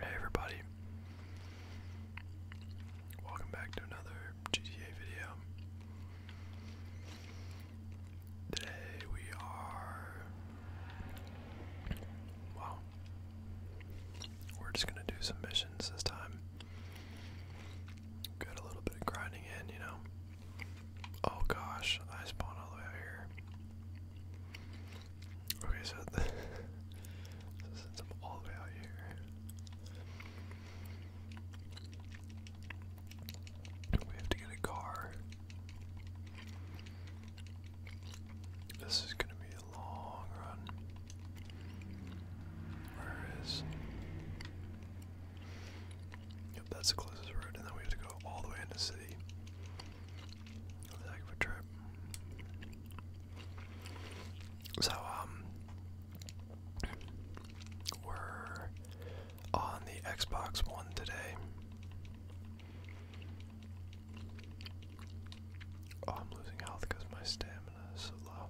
Hey everybody. Welcome back to another GTA video. Today we are Wow. We're just gonna do some missions this time. Got a little bit of grinding in, you know. Oh gosh, I spawned all the way out here. Okay, so, since I'm all the way out here, we have to get a car. This is gonna be a long run. Where is Yep, that's the closest route, and then we have to go all the way into the city. That was a a trip. So, um, we're on the Xbox One today. Oh, I'm losing health because my stamina is so low.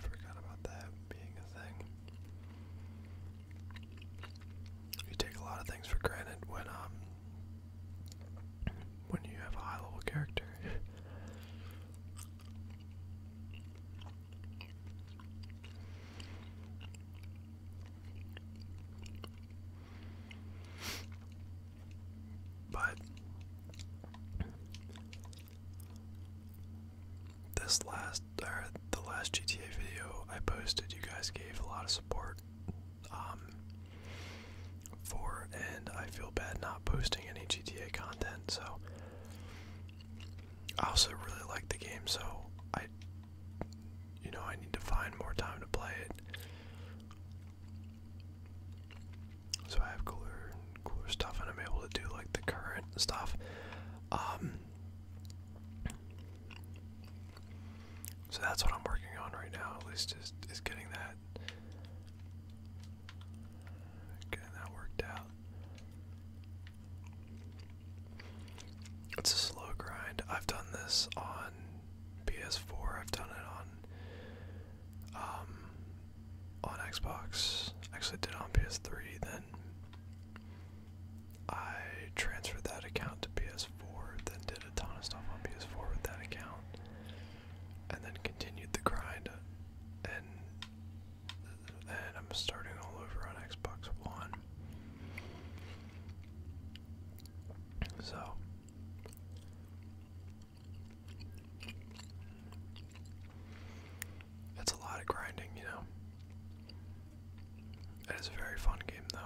Forgot about that being a thing you take a lot of things for granted when um, when you have a high level character. but this last or the last GTA video I posted, you guys gave a lot of support um, for, and I feel bad not posting any GTA content. So I also really like the game, so I, you know, I need to find more time to play it. So I have cooler, cooler stuff, and I'm able to do like the current stuff. Um, so that's what I'm working on right now, at least is is getting that getting that worked out. It's a slow grind. I've done this on PS4, I've done it on um, on Xbox. Actually did on PS3 then I transferred that account to PS4, then did a ton of stuff on PS4 with that account, and then continued the grind. And and I'm starting all over on Xbox One. So. That's a lot of grinding, you know. It is a very fun game, though.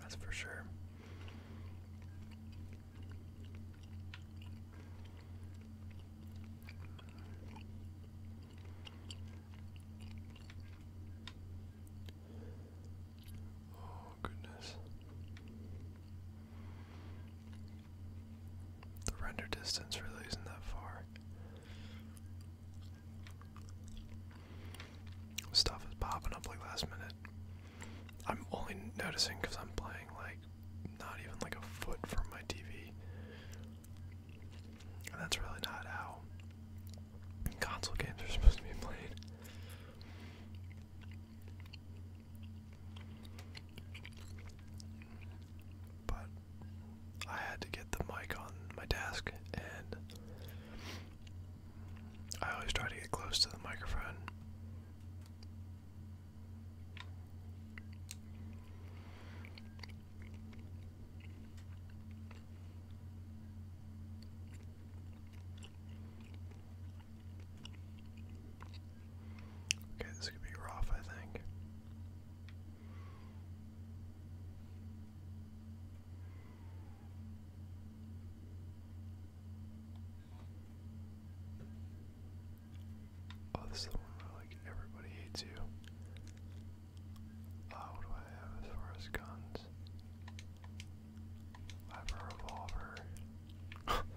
That's for sure. Oh, goodness. The render distance really isn't that far. Stuff is popping up like last minute. I'm only noticing because I'm playing like not even like a foot from my TV. And that's really not how console games are supposed to be played but I had to get the mic on my desk, and I always try to get close to the microphone. Okay, this could be rough, I think. Oh, this is the one where like everybody hates you. Uh, what do I have as far guns? I revolver.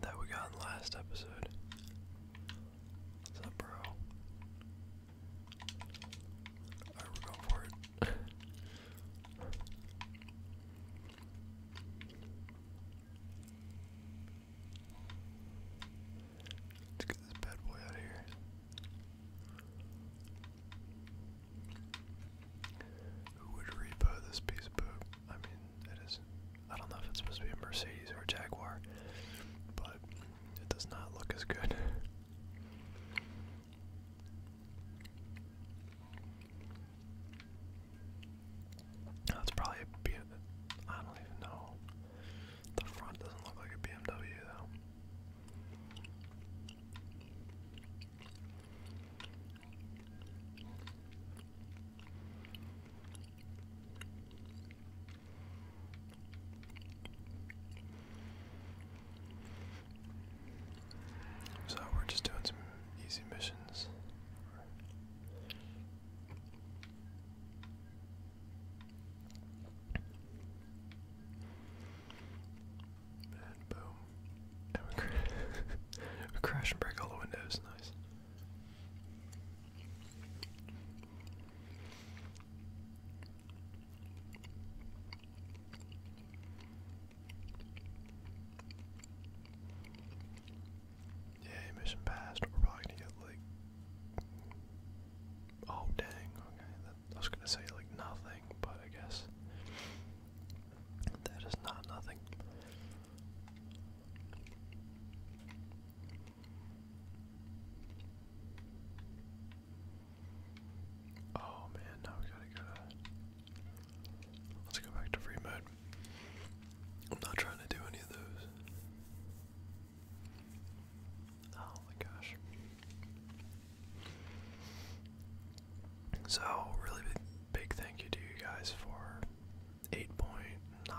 that we got in the last episode. What's up, bro? Alright, we're going for it. Let's get this bad boy out here. Who would repo this piece of poop? I mean, it is I don't know if it's supposed to be a Mercedes or a Jaguar, but it does not look as good. That's probably a don't even know. The front doesn't look like a BMW though. So we're just doing some easy missions. And boom. we crash and break all the windows. Nice. Yeah, mission passed. We're probably gonna get like. Oh dang! Okay, I was gonna say like nothing, but I guess that is not nothing. Oh man, now we gotta go Let's go back to free mode. I'm not trying to do any of those. Oh my gosh. So, really big thank you to you guys for 8.9k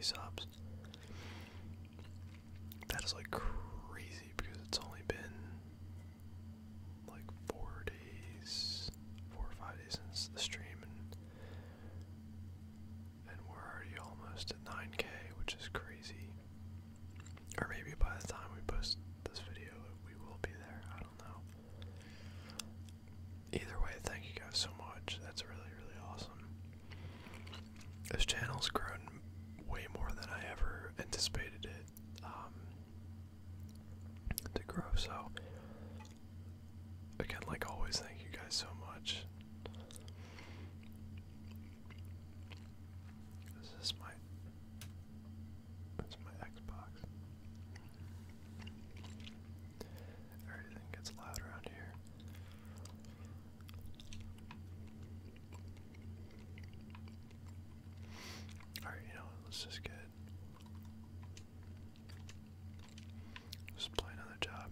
subs. That is like crazy because it's only been like four days, four or five days since the stream, and, we're already almost at 9k, which is crazy. Or maybe by the time we post this video, we will be there. I don't know. Either way, thank you guys so much. That's really, really awesome. This channel's grown way more than I ever anticipated it um, to grow. So, again, like always, thank you guys so much. Is this is my Xbox. Everything gets loud around here. Alright, you know what? Let's just get. let play another job.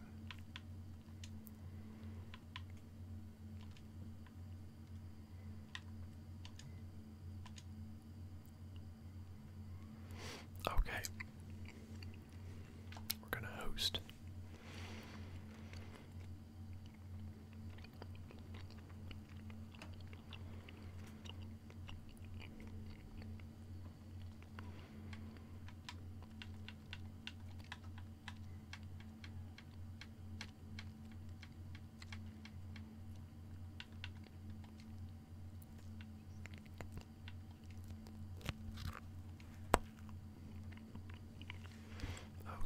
Okay. We're going to host.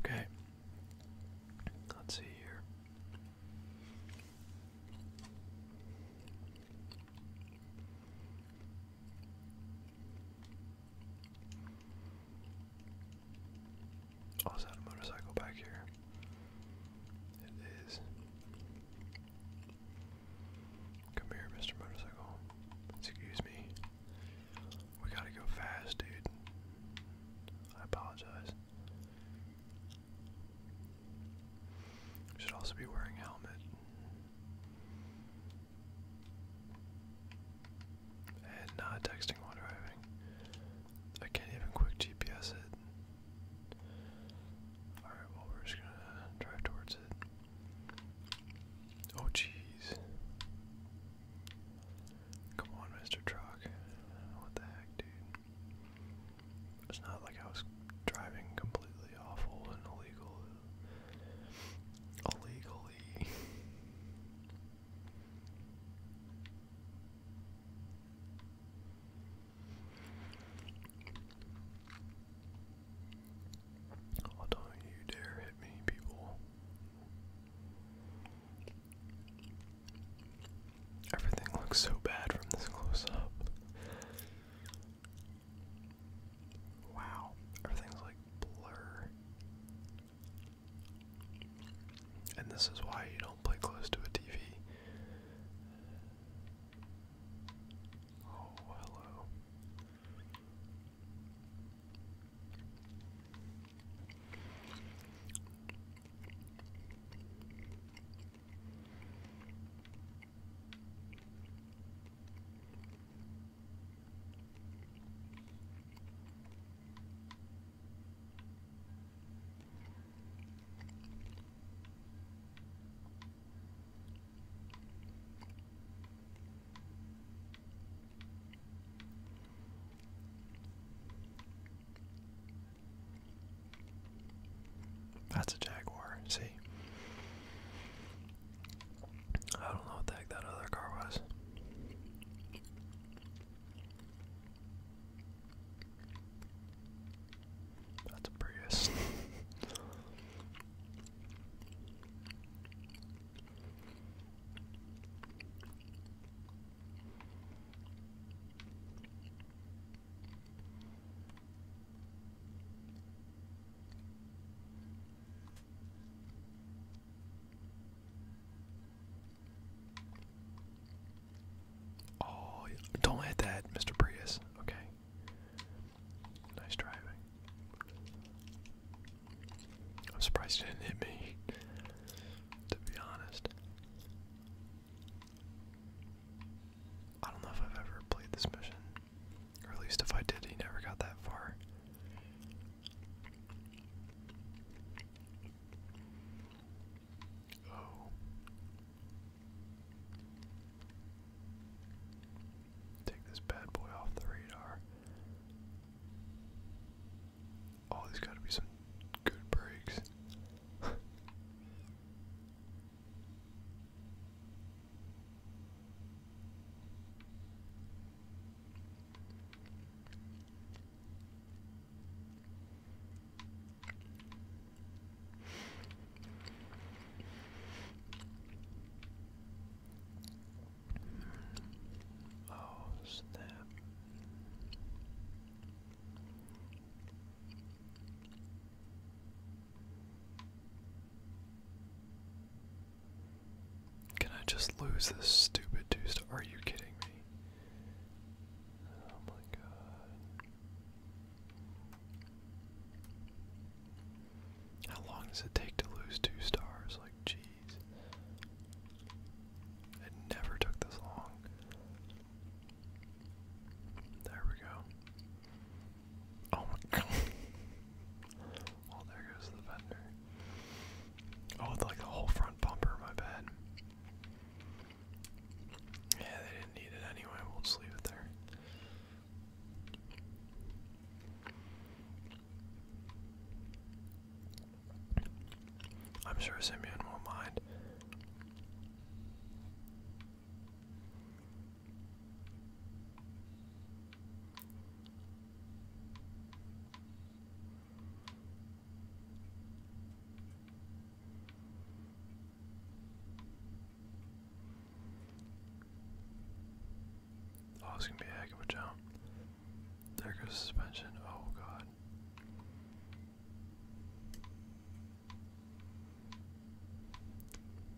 Okay. Let's see here. Also oh, had a motorcycle back here. It is Come here, Mr. Motorcycle. Excuse me. We gotta go fast, dude. I apologize. Should also be wearing a helmet. And not texting while driving. I can't even quick GPS it. Alright, well, we're just gonna drive towards it. Oh, jeez. Come on, Mr. Truck. What the heck, dude? It's not like I was driving completely awful and illegal. Illegally. Oh, don't you dare hit me, people. Everything looks so bad from this close up. Wow, everything's like blur. And this is why you don't play close to a TV. Oh, hello. That's a Jaguar, see? I don't know what the heck that other car was. That's a Prius. Oh, don't hit that, Mr. Prius. Okay, Nice driving. I'm surprised he didn't hit me, to be honest. I don't know if I've ever played this mission. Or at least if I did, he never got that far. Oh. Take this bad boy off the radar. Oh, there's got to be some good breaks. Oh, snap. Can I just lose this stupid two Are you kidding me? Oh my god. How long does it take to lose two stars? Like, jeez. It never took this long. There we go. Oh my god. well, oh, there goes the vendor. Oh, like the whole front bumper, my bad. Yeah, they didn't need it anyway. We'll just leave it there. I'm sure Simeon won't mind. Oh, it's gonna be a heck of a jump. There goes suspension. Oh god.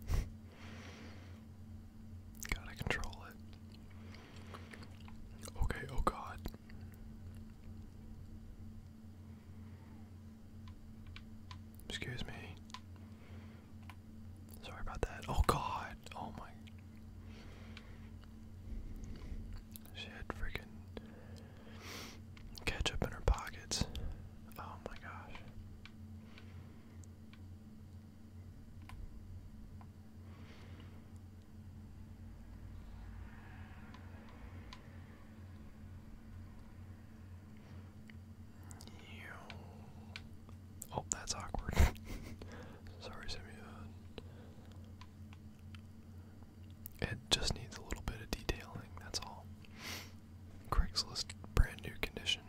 Gotta control it. Okay, oh god. Excuse me. Sorry about that. Oh god. Oh my. She had freaking ketchup in her pockets. Oh my gosh. Oh, that's awkward. Sorry, Simeon. It just needs a little bit of detailing, that's all. Craigslist brand new condition.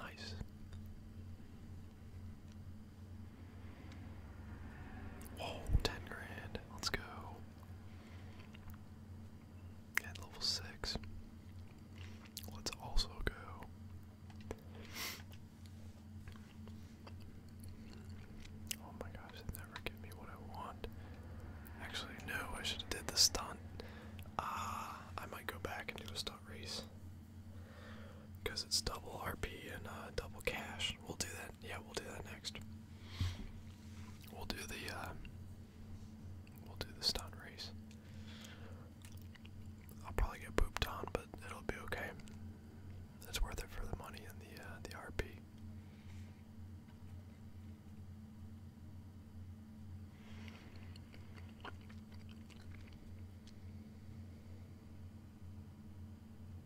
Nice. Whoa, ten grand. Let's go. At level 6. Let's also go. Oh my gosh, never give me what I want. Actually, no, I should have did the stunt. Ah, I might go back and do a stunt race. Because it's double RP and uh, double cash. We'll do that. Yeah, we'll do that next. We'll do the uh, we'll do the stunt race. I'll probably get pooped on, but it'll be okay. It's worth it for the money and the uh, the RP.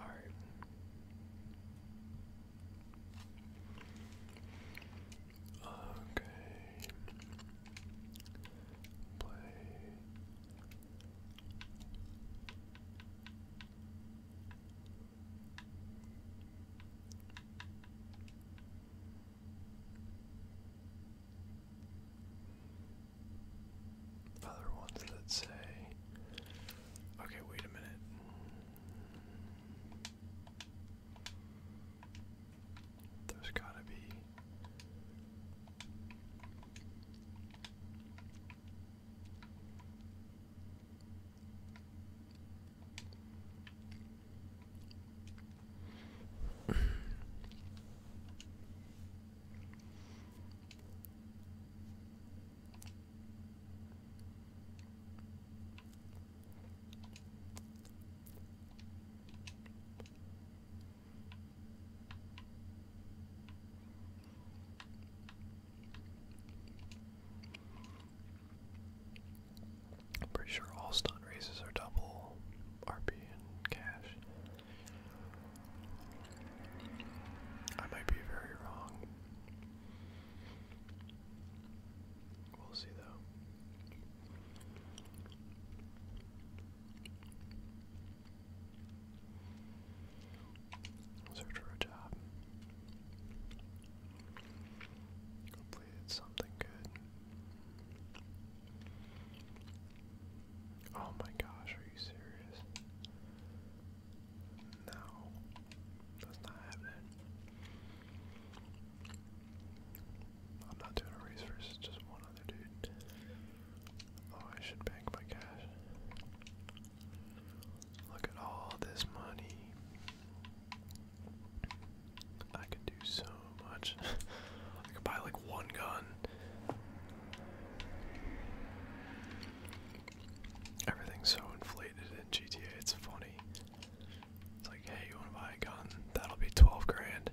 All right. Okay. Play other ones that say, okay, wait a minute. There's gotta be. I'm pretty sure all stunt raises are double RP and cash. I might be very wrong. We'll see though. Search for a job. Hopefully it's something good. Oh my gosh, are you serious? No, that's not happening. I'm not doing a race versus just one other dude. Oh, I should bank my cash. Look at all this money. I could do so much. I could buy like one gun. Everything's so inflated in GTA, it's funny. It's like, hey, you wanna buy a gun? That'll be 12 grand.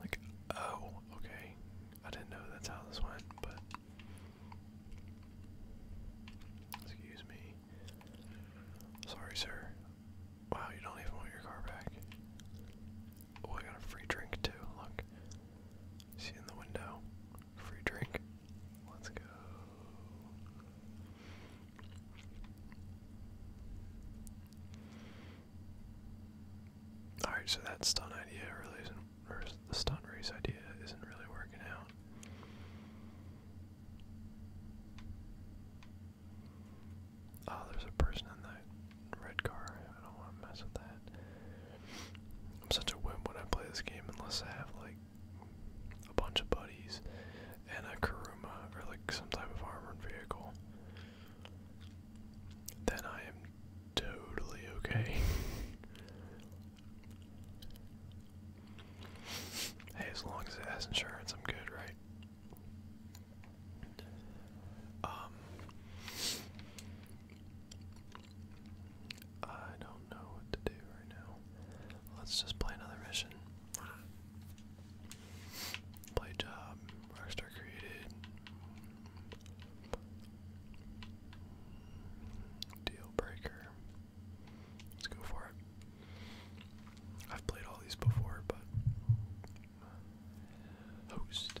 Like, oh, okay. I didn't know that's how this went, but. Excuse me. Sorry, sir. Wow, you don't even want your car back. Oh, I got a free drink too, look. See in the window. Free drink. Let's go. Alright, so that stun idea really isn't, the stun race idea isn't really working out. Oh, there's a person in that red car. I don't want to mess with that. I'm such a wimp when I play this game unless I have like a bunch of buddies and a Karuma or like some type of armored vehicle. Then I am totally okay. hey, as long as it has insurance, I'm good, right? Um, I don't know what to do right now. Let's just play another mission. Play job. Rockstar created. Deal breaker. Let's go for it. I've played all these before, but host.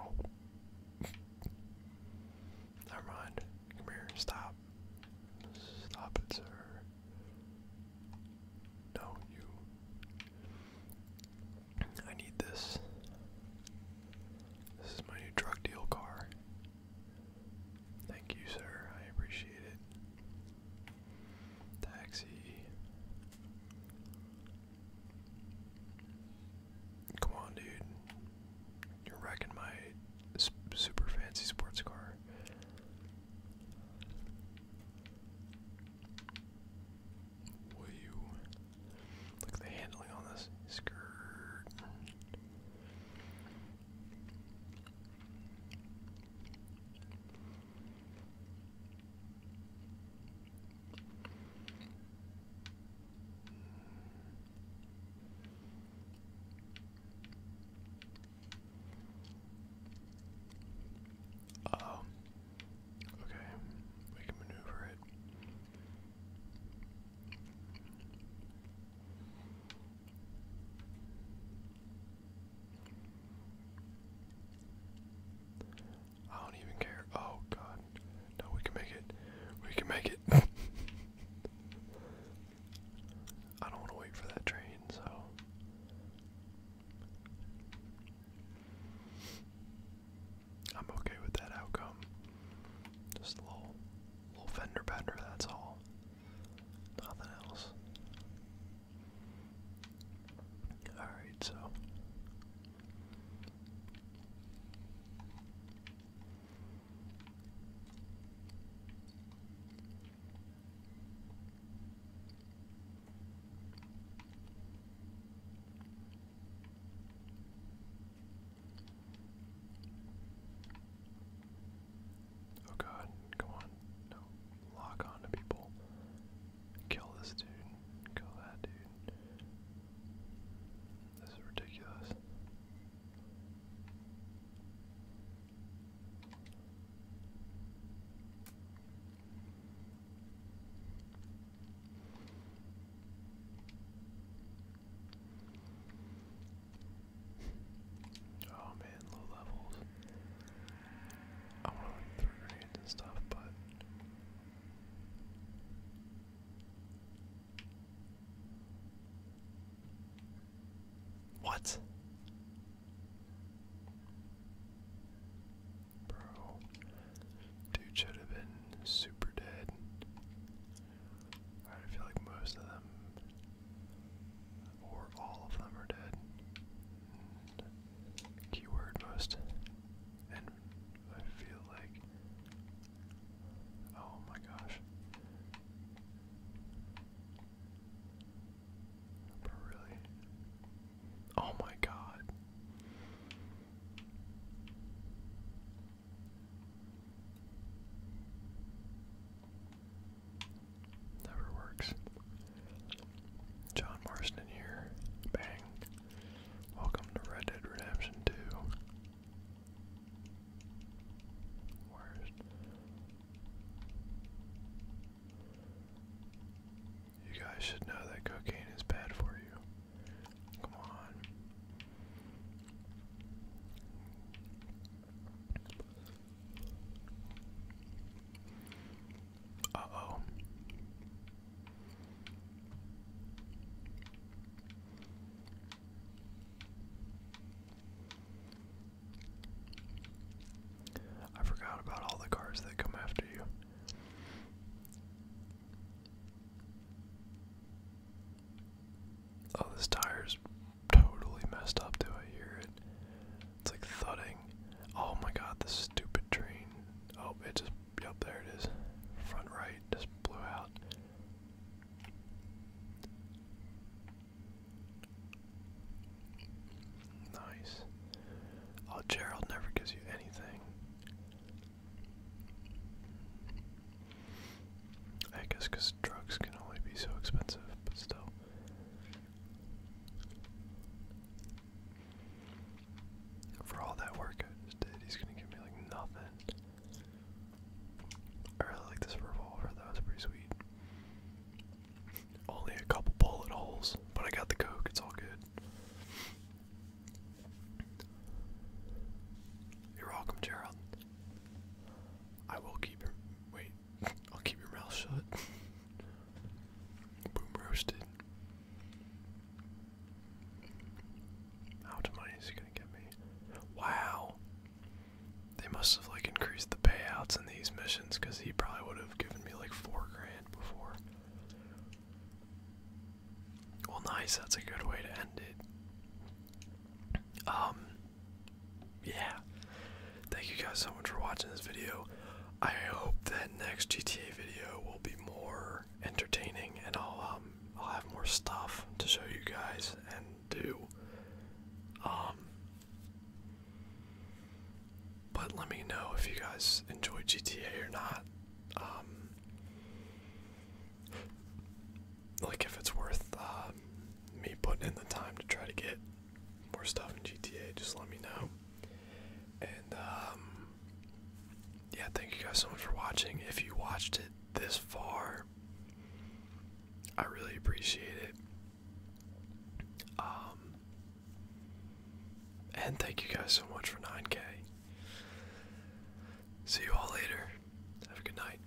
Oh. Never mind. Come here. Stop. Stop it, sir. No, you. I need this. This is my new drug deal car. Thank you, sir. I appreciate it. Taxi. Come on, dude. You're wrecking my super fancy sports car. Will you look at the handling on this skirt? Uh oh. Okay, we can maneuver it. I don't even care. Oh god. No, we can make it. We can make it. I don't want to wait for that train, so. I'm okay with that outcome. Just a little, little fender bender, that's all. Nothing else. Alright, so. Oh god, come on. No. Lock on people. Kill this dude. Kill that dude. This is ridiculous. Oh man, low levels. I wanna like throw grenades and stuff, but what? Bro, dude should have been super dead. I feel like most of them or all of them are dead. keyword most. And I feel like. Oh my gosh. really? Oh my god. Never works. John Marston here. Bang. Welcome to Red Dead Redemption 2. Where's. You guys should know that cocaine is bad for you. Come on. Uh oh. I forgot about all the cars that come after you. Oh, this tire's totally messed up. Do I hear it? It's like thudding. Oh my god, this stupid train. Oh, it just. Yep, there it is. Front right just blew out. Nice. Oh, Gerald never gives you anything. I guess drugs can only be so expensive, but still. For all that work I just did, he's gonna give me like nothing. I really like this revolver, that was pretty sweet. Only a couple bullet holes, but I got the coke, it's all good. You're welcome, Gerald. I will keep your wait, I'll keep your mouth shut. Boom roasted. How much money is he gonna get me? Wow. They must have like increased the payouts in these missions because he probably would have given me like four grand before. Well nice, that's a good way to end it. Um, yeah. Thank you guys so much for watching this video. I hope that next GTA video will be more entertaining, and I'll um I'll have more stuff to show you guys and do. Um. But let me know if you guys enjoy GTA or not. Um, like if it's worth uh, me putting in the time to try to get more stuff in GTA, just let me know. And um, yeah, thank you guys so much for watching. If you watched it this far, I really appreciate it. Um, and thank you guys so much for 9K. See you all later. Have a good night.